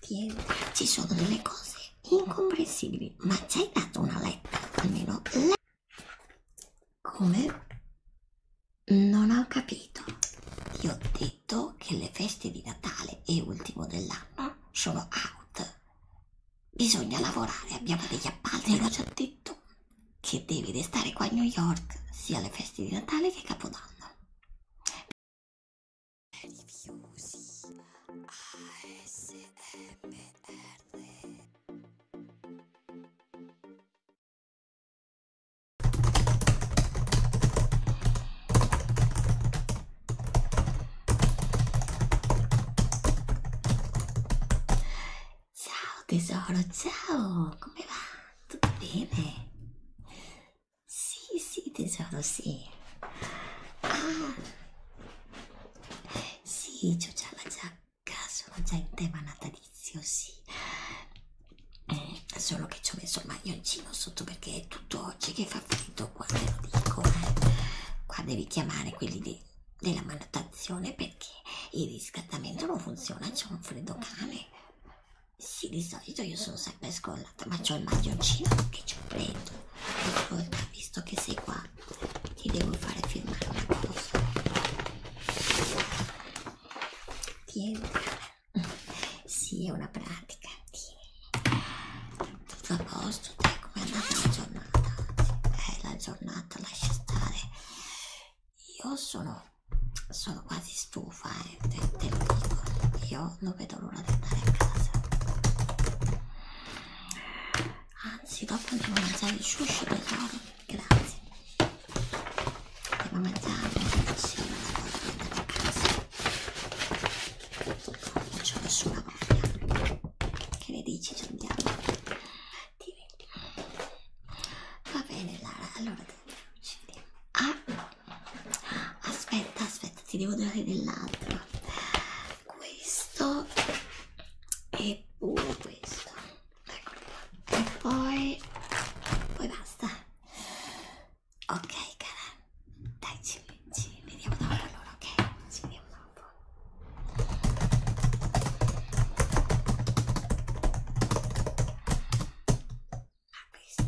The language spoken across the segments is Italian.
Tieni, ci sono delle cose incomprensibili, ma ci hai dato una letta, almeno letta. Come? Non ho capito. Ti ho detto che le feste di Natale e ultimo dell'anno sono out. Bisogna lavorare, abbiamo degli appalti, l'ho già detto. Che devi restare qua a New York, sia alle feste di Natale che Capodanno. Ciao tesoro, ciao, come va? Tutto bene? Sì, sì, tesoro, sì. Ah, sì, ho già la giacca, sono già in tema natalizio, sì. Eh, solo che ci ho messo il maglioncino sotto perché è tutto oggi che fa freddo, qua te lo dico. Eh. Qua devi chiamare quelli de della manutenzione perché il riscaldamento non funziona, c'è un freddo cane. Sì, di solito io sono sempre scollata, ma c'ho il maglioncino che ci ho preso. Ascolta, visto che sei qua, ti devo fare firmare una cosa. Tieni. Sì, è una pratica. Tieni. Tutto a posto, dai, com'è andata la giornata? Eh, la giornata lascia stare. Io sono sono quasi stufa e eh, te, te lo dico io non vedo l'ora di andare a casa anzi dopo andiamo a mangiare il sushi tesoro grazie andiamo a mangiare sì, a casa. non c'ho nessuna voglia che ne dici ci andiamo Dimmi. va bene Lara allora ci vediamo ah aspetta aspetta ti devo dare dell'altro questo e pure questo eccolo qua e poi poi basta ok cara dai ci, ci vediamo dopo allora ok ci vediamo dopo ma questa,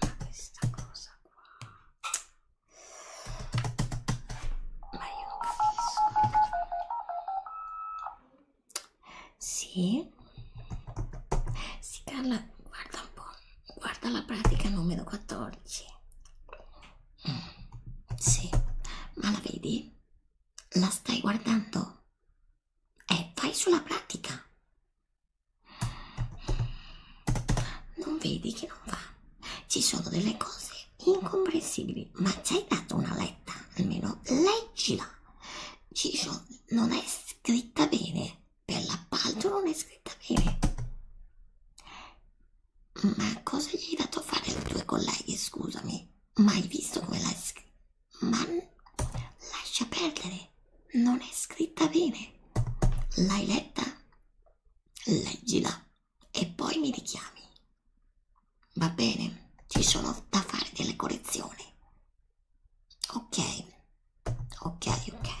ma questa cosa qua ma io non capisco sì sì Carla guarda un po' guarda la pratica numero 14 mm, sì ma la vedi? la stai guardando? Eh, vai sulla pratica. Non vedi che non va. Ci sono delle cose incomprensibili, ma ci hai dato una letta, almeno leggila. Ci sono, non è scritta bene, per l'appalto non è scritta bene. Ma cosa gli hai dato a fare ai tuoi colleghi, scusami? Ma hai visto come l'hai scritta? Ma lascia perdere, non è scritta bene. L'hai letta? Leggila e poi mi richiami. Va bene, ci sono da fare delle correzioni. Ok, ok, ok.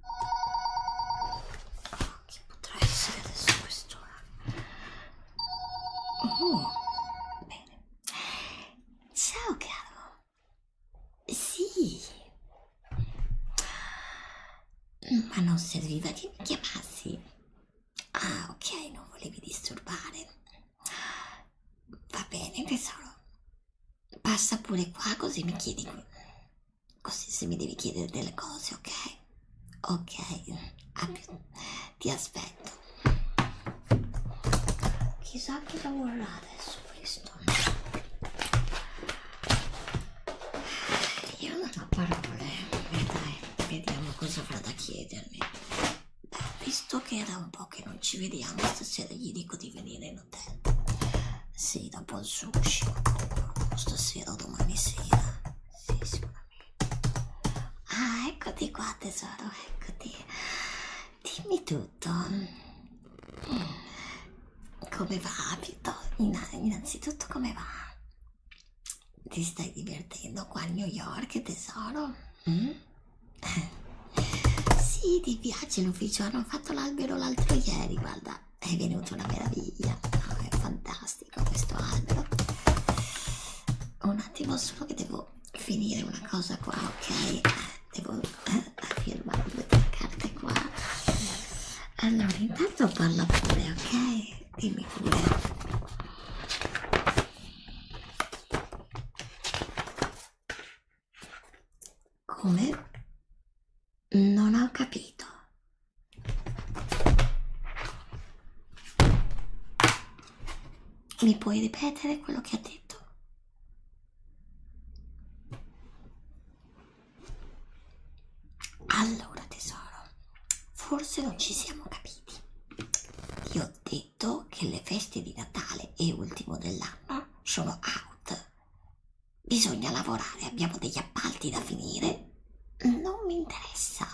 Oh, chi potrà essere adesso quest'ora? Oh, mm. bene. Ciao caro. Sì. Ma non serviva che mi chiamassi. Ah, ok, non volevi disturbare. Va bene, tesoro. Passa pure qua così mi chiedi Così se mi devi chiedere delle cose, ok? Ok, Abbi... ti aspetto. Chissà che lavorerà adesso questo. Io non ho parole. Beh, dai, vediamo cosa avrà da chiedermi. Beh, visto che era un po' che non ci vediamo, stasera gli dico di venire in sì, dopo il sushi. Stasera, domani sera. Sì, sicuramente. Ah, eccoti qua, tesoro, eccoti. Dimmi tutto. Mm. Come va, Vito? Innanzitutto, come va? Ti stai divertendo qua a New York, tesoro? Mm? Sì, ti piace l'ufficio, hanno fatto l'albero l'altro ieri, guarda è venuta una meraviglia, no, è fantastico questo albero. Un attimo solo che devo finire una cosa qua, ok? Eh, devo eh, firmare due tre carte qua. Allora, intanto parla pure, ok? Dimmi pure. Come? Non ho capito. Mi puoi ripetere quello che ha detto? Allora tesoro, forse non ci siamo capiti. Ti ho detto che le feste di Natale e ultimo dell'anno sono out. Bisogna lavorare, abbiamo degli appalti da finire. Non mi interessa.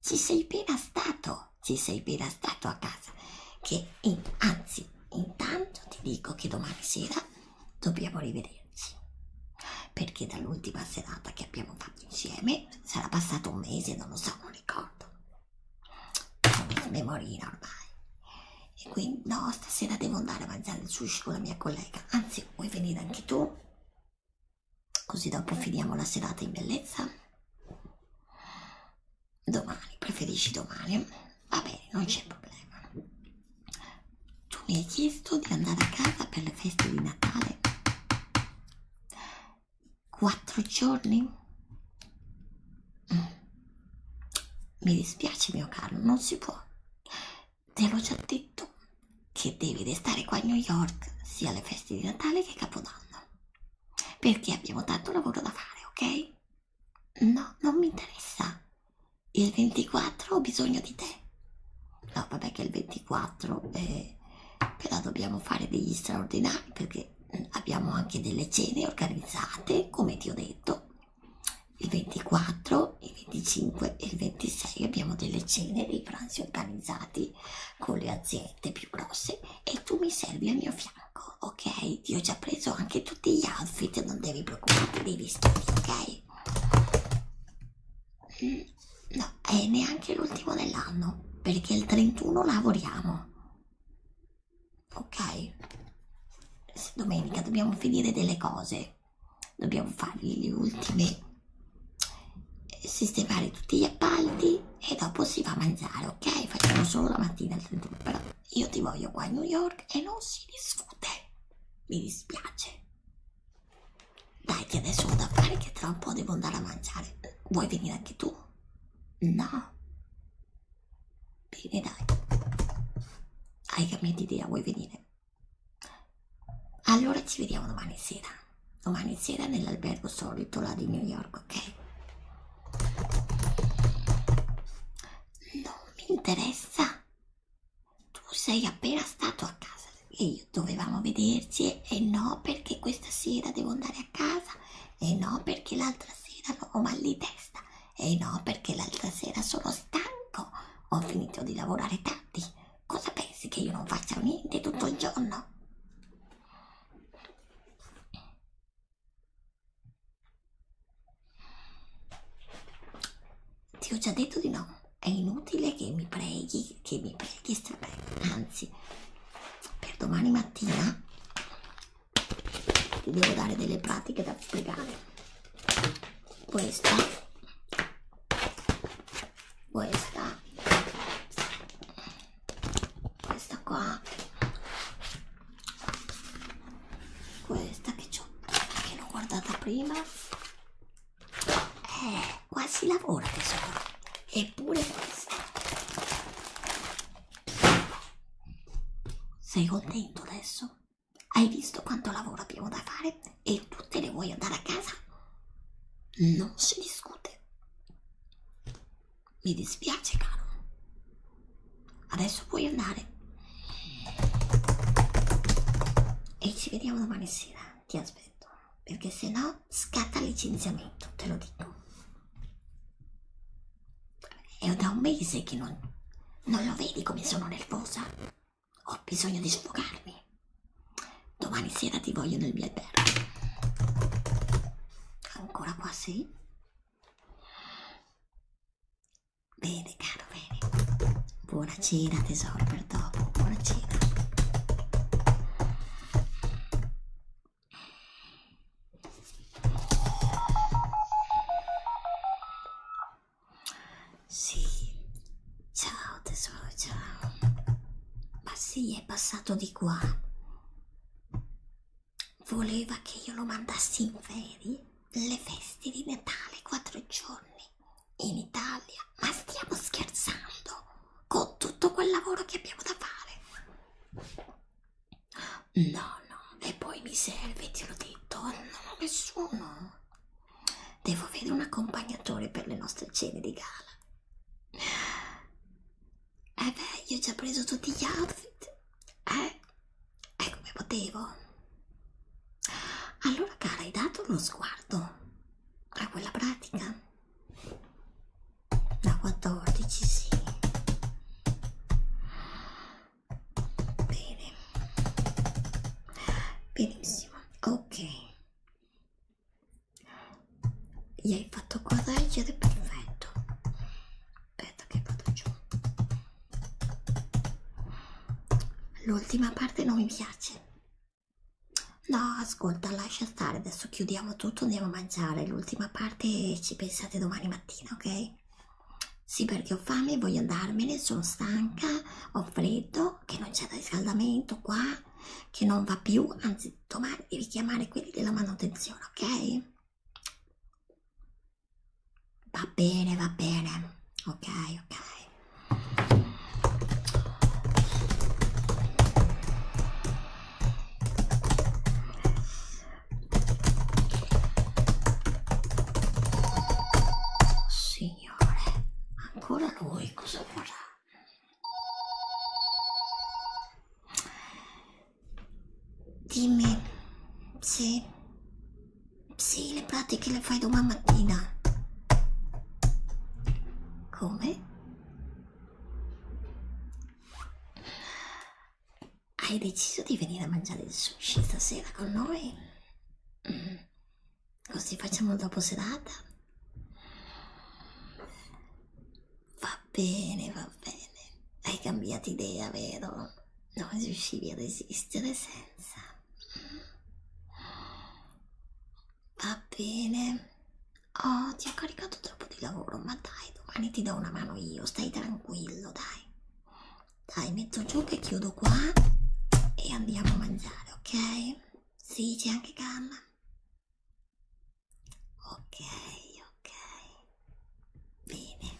Ci sei appena stato, ci sei appena stato a casa. Che in, anzi, intanto ti dico che domani sera dobbiamo rivederci. Perché dall'ultima serata che abbiamo fatto insieme sarà passato un mese, non lo so, non ricordo. Sono in memoria ormai e quindi no stasera devo andare a mangiare il sushi con la mia collega anzi vuoi venire anche tu così dopo finiamo la serata in bellezza domani preferisci domani va bene non c'è problema tu mi hai chiesto di andare a casa per le feste di Natale quattro giorni? Mm. Mi dispiace, mio caro, non si può. Te l'ho già detto che devi restare qua a New York sia alle feste di Natale che Capodanno. Perché abbiamo tanto lavoro da fare, ok? No, non mi interessa. Il 24 ho bisogno di te. No, vabbè che il 24 eh, però dobbiamo fare degli straordinari perché mm, abbiamo anche delle cene organizzate, come ti ho detto, il 24, il 25 e il 26 abbiamo delle cene, dei pranzi organizzati con le aziende più grosse e tu mi servi al mio fianco, ok? Ti ho già preso anche tutti gli outfit, non devi preoccuparti dei vestiti, ok? No, è neanche l'ultimo dell'anno perché il 31 lavoriamo, ok? domenica dobbiamo finire delle cose dobbiamo fare le ultime eh, sistemare tutti gli appalti e dopo si va a mangiare ok facciamo solo la mattina però io ti voglio qua a New York e non si discute mi dispiace dai che adesso ho da fare che tra un po' devo andare a mangiare vuoi venire anche tu no Bene, dai. Hai cambiato idea, vuoi venire? Allora ci vediamo domani sera. Domani sera nell'albergo solito là di New York, ok? Non mi interessa. Tu sei appena stato a casa e io dovevamo vederci e no perché questa sera devo andare a casa e no perché l'altra sera ho mal di testa eh no, perché l'altra sera sono stanco, ho finito di lavorare tardi. Cosa pensi che io non faccia niente tutto il giorno? Ti ho già detto di no. È inutile che mi preghi, che mi preghi strapello. Anzi, per domani mattina ti devo dare delle pratiche da spiegare questa questa questa qua questa che ho che l'ho guardata prima eh, qua si lavora tesoro eppure questa sei contento adesso? Hai visto quanto lavoro abbiamo da fare e tu te ne vuoi andare a casa? Non si discute. Mi dispiace, caro. Adesso puoi andare. E ci vediamo domani sera. Ti aspetto. Perché se no scatta il licenziamento, te lo dico. È da un mese che non... non lo vedi come sono nervosa? Ho bisogno di sfogarmi. Domani sera ti voglio nel mio albergo. Ancora qua, sì? Bene, caro, bene. Buona cena, tesoro, per dopo. Buona cena. Sì, ciao tesoro, ciao. Ma sì, è passato di qua. Voleva che io lo mandassi in ferie le feste di Natale, quattro giorni, in Italia. Ma stiamo scherzando con tutto quel lavoro che abbiamo da fare? No, no, e poi mi serve, ti l'ho detto, eh, non ho nessuno. Devo avere un accompagnatore per le nostre cene di gala. Eh beh, io ho già preso tutti gli outfit. Eh, è come potevo. Allora, cara, hai dato uno sguardo a quella pratica? Da 14, sì bene benissimo ok gli hai fatto correggere perfetto aspetta che vado giù l'ultima parte non mi piace no ascolta lascia stare adesso chiudiamo tutto andiamo a mangiare l'ultima parte ci pensate domani mattina ok fame? Sì, perché ho fame, voglio andarmene, sono stanca, ho freddo, che non c'è riscaldamento qua, che non va più, anzi domani devi chiamare quelli della manutenzione, ok? Va bene, va bene, ok, ok. Signore, ancora lui cosa vorrà? Dimmi se, se le pratiche le fai domani mattina. Come? Hai deciso di venire a mangiare il sushi stasera con noi? Mm. Così facciamo dopo serata? Va bene, va bene. Hai cambiato idea, vero? Non riuscivi a resistere senza. Va bene. Oh, ti ho caricato troppo di lavoro, ma dai, domani ti do una mano io, stai tranquillo, dai. Dai, metto giù che chiudo qua e andiamo a mangiare, ok? Sì, c'è anche gamma. Ok, ok. Bene.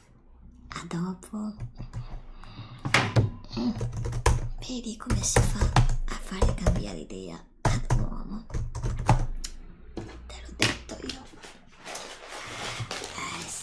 A dopo. Mm. Vedi come si fa a fare cambiare idea ad un uomo. Te l'ho detto io. Eh, sì.